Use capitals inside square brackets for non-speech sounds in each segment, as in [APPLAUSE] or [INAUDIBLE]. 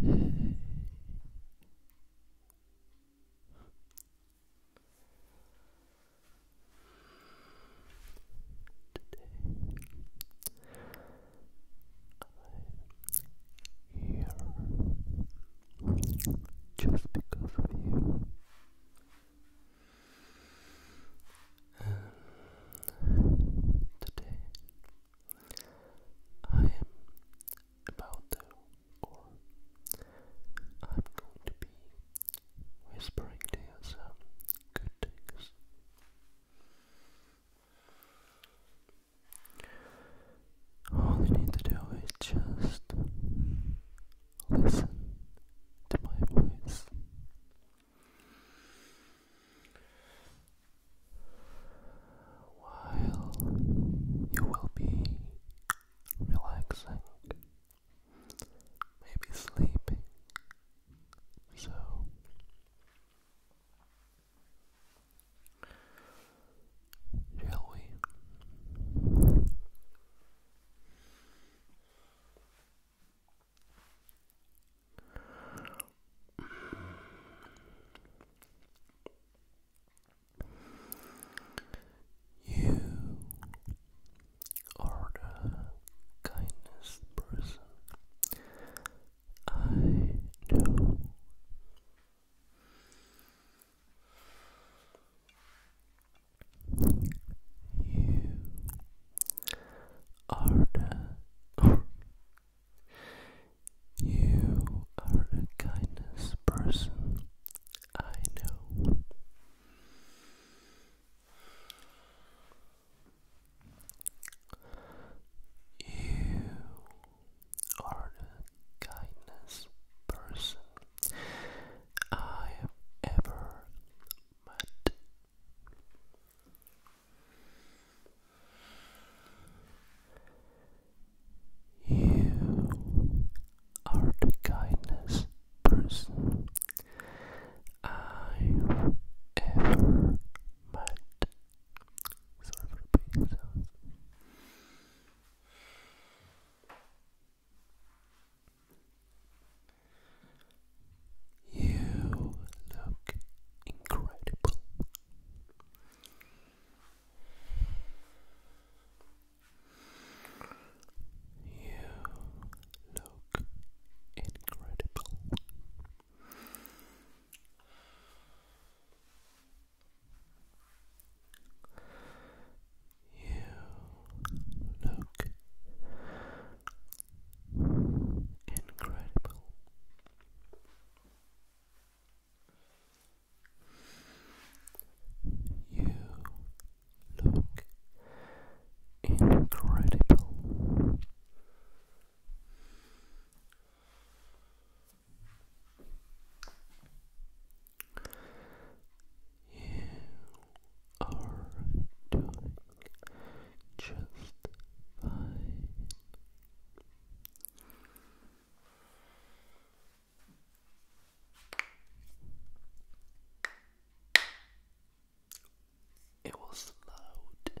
here just because of you. And today I am about to, or I'm going to be whispering to you good things. All you need to do is just Listen to my voice. While you will be relaxing, maybe sleeping, so shall we you are the kindest person I know. You are the You are the kindest person I know. You are the kindest person I ever met. You are the kindest person I've ever met. Sorry for you look incredible. You look incredible. You look incredible. You look incredible. You are doing just fine. It was loud.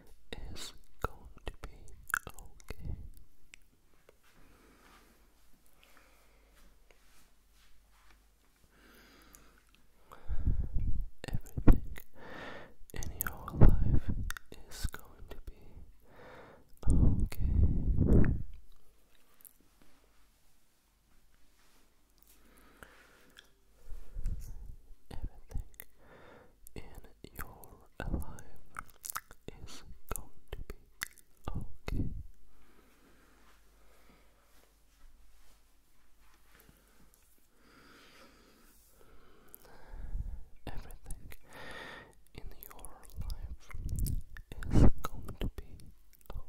is going to be okay. Everything in your life is going to be okay. Everything in your life is going to be okay. Everything in your life is going to be okay.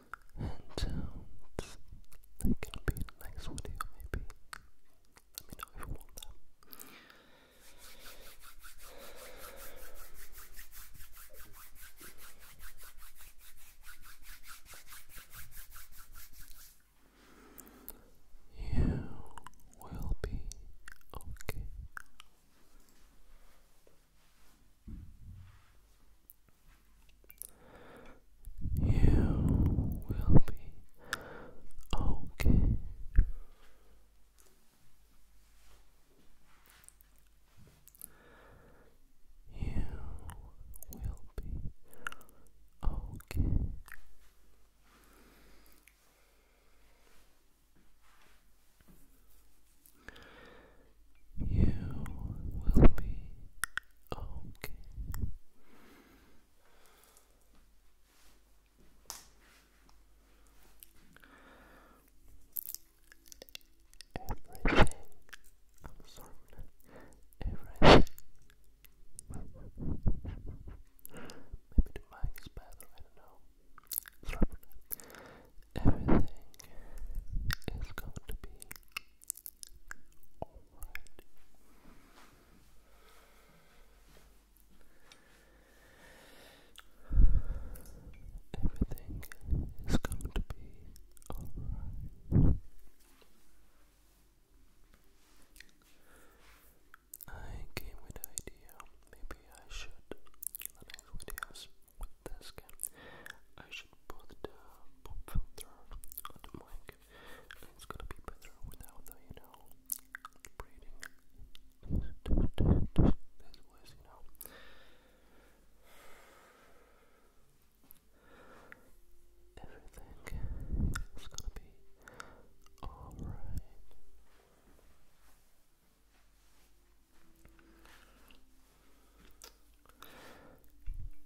And um, it's be in the video, maybe. Let me know if you want that. You will be okay. You will be okay. You will be okay. You will be okay. I'm sorry, everything. Maybe the mic is better, I don't know. Everything is going to be alright. Everything is going to be alright. I came with the idea maybe I should in videos with this I should put the pop filter on the mic. It's gonna be better without the, you know, breathing. This was, you know. Everything is gonna be alright.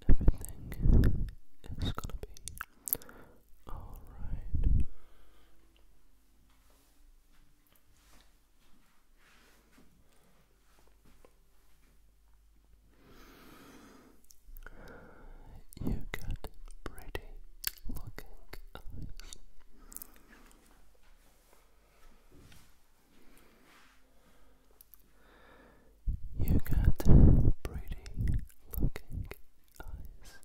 Everything is gonna be all right. You got pretty looking you got pretty looking eyes.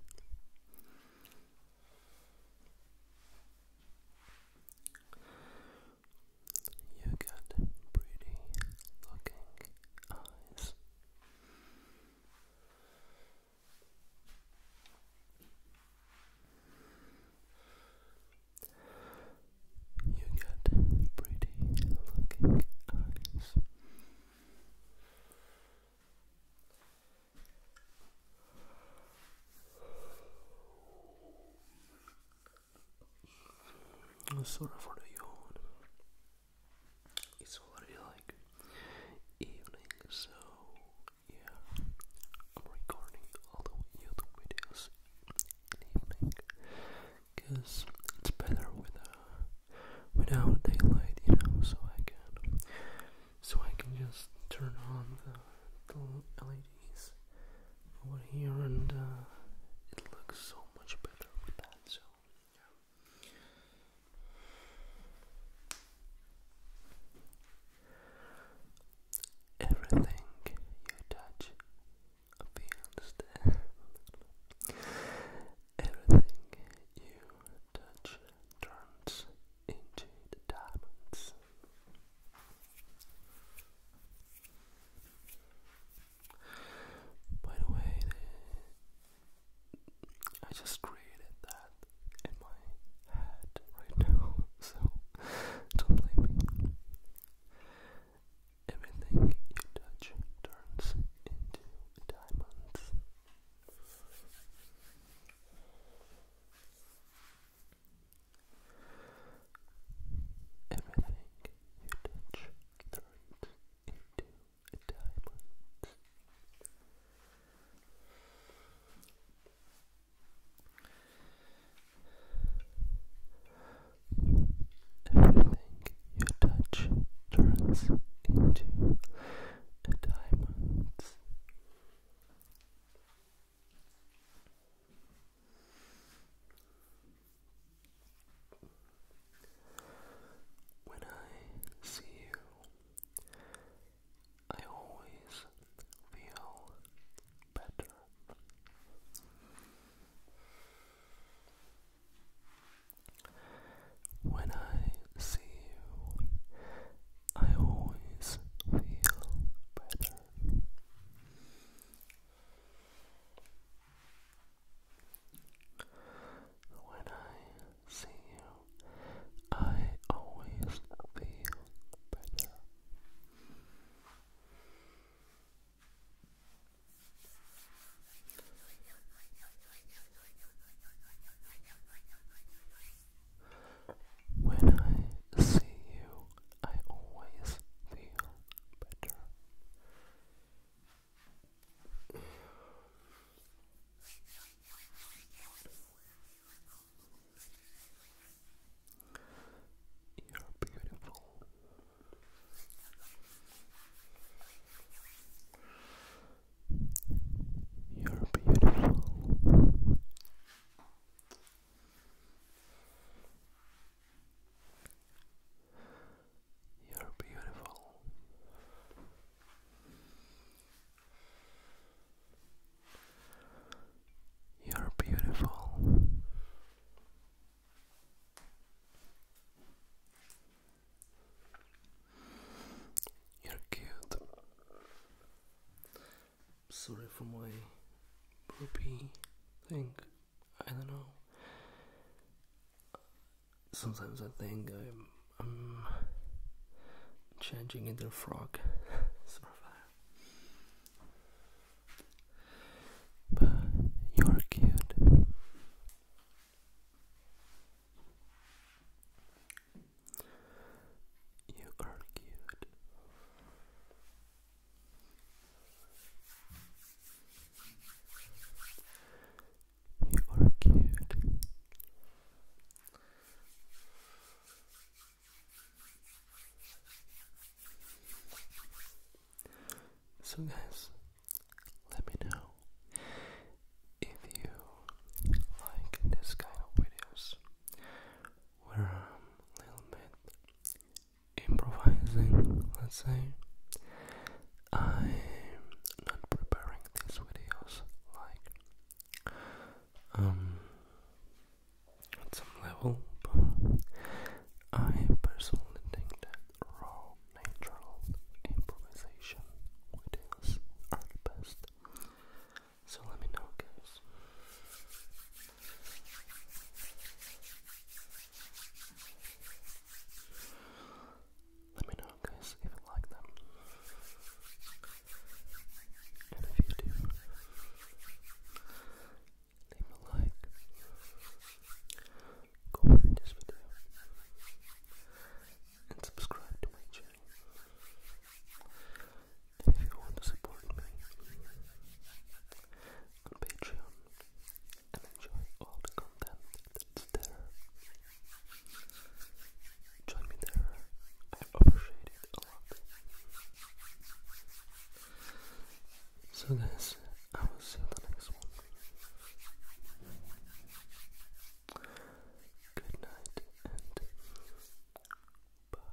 You got pretty looking eyes. You get pretty looking eyes. Sorry for the yawn. It's already like evening, so yeah, I'm recording all the YouTube videos evening because it's better with uh, without daylight, you know, so I can so I can just turn on the, the LEDs over here and uh, it looks so much better with that. So Everything you touch feels death. Everything you touch turns into diamonds. By the way, I just created that in my head right now, [LAUGHS] so don't blame me. Everything you touch turns into diamonds. Everything you touch turns into diamonds. Everything you touch turns into a diamond. When I see you, I always feel better. When I see you, I always feel better. When I see you, I always feel better. When I see you, I always feel better. You're beautiful. You're beautiful. You're beautiful. You're beautiful. You're cute. Sorry for my poopy thing. I don't know. Sometimes I think I'm, changing into a frog. [LAUGHS] Uh, but you're cute. You are cute. You are cute. So, guys, let me know if you like this kind of videos where I'm a little bit improvising, let's say. I'm not preparing these videos like um at some level, I personally think that raw natural improvisation videos are the best. So let me know guys. Let me know, guys, if you like them. And if you do, leave a like. Go over this video and subscribe to my channel. if you want to support me on Patreon, and enjoy all the content that's there. Join me there, I appreciate it a lot. So, guys, I will see you the next one. Good night and bye.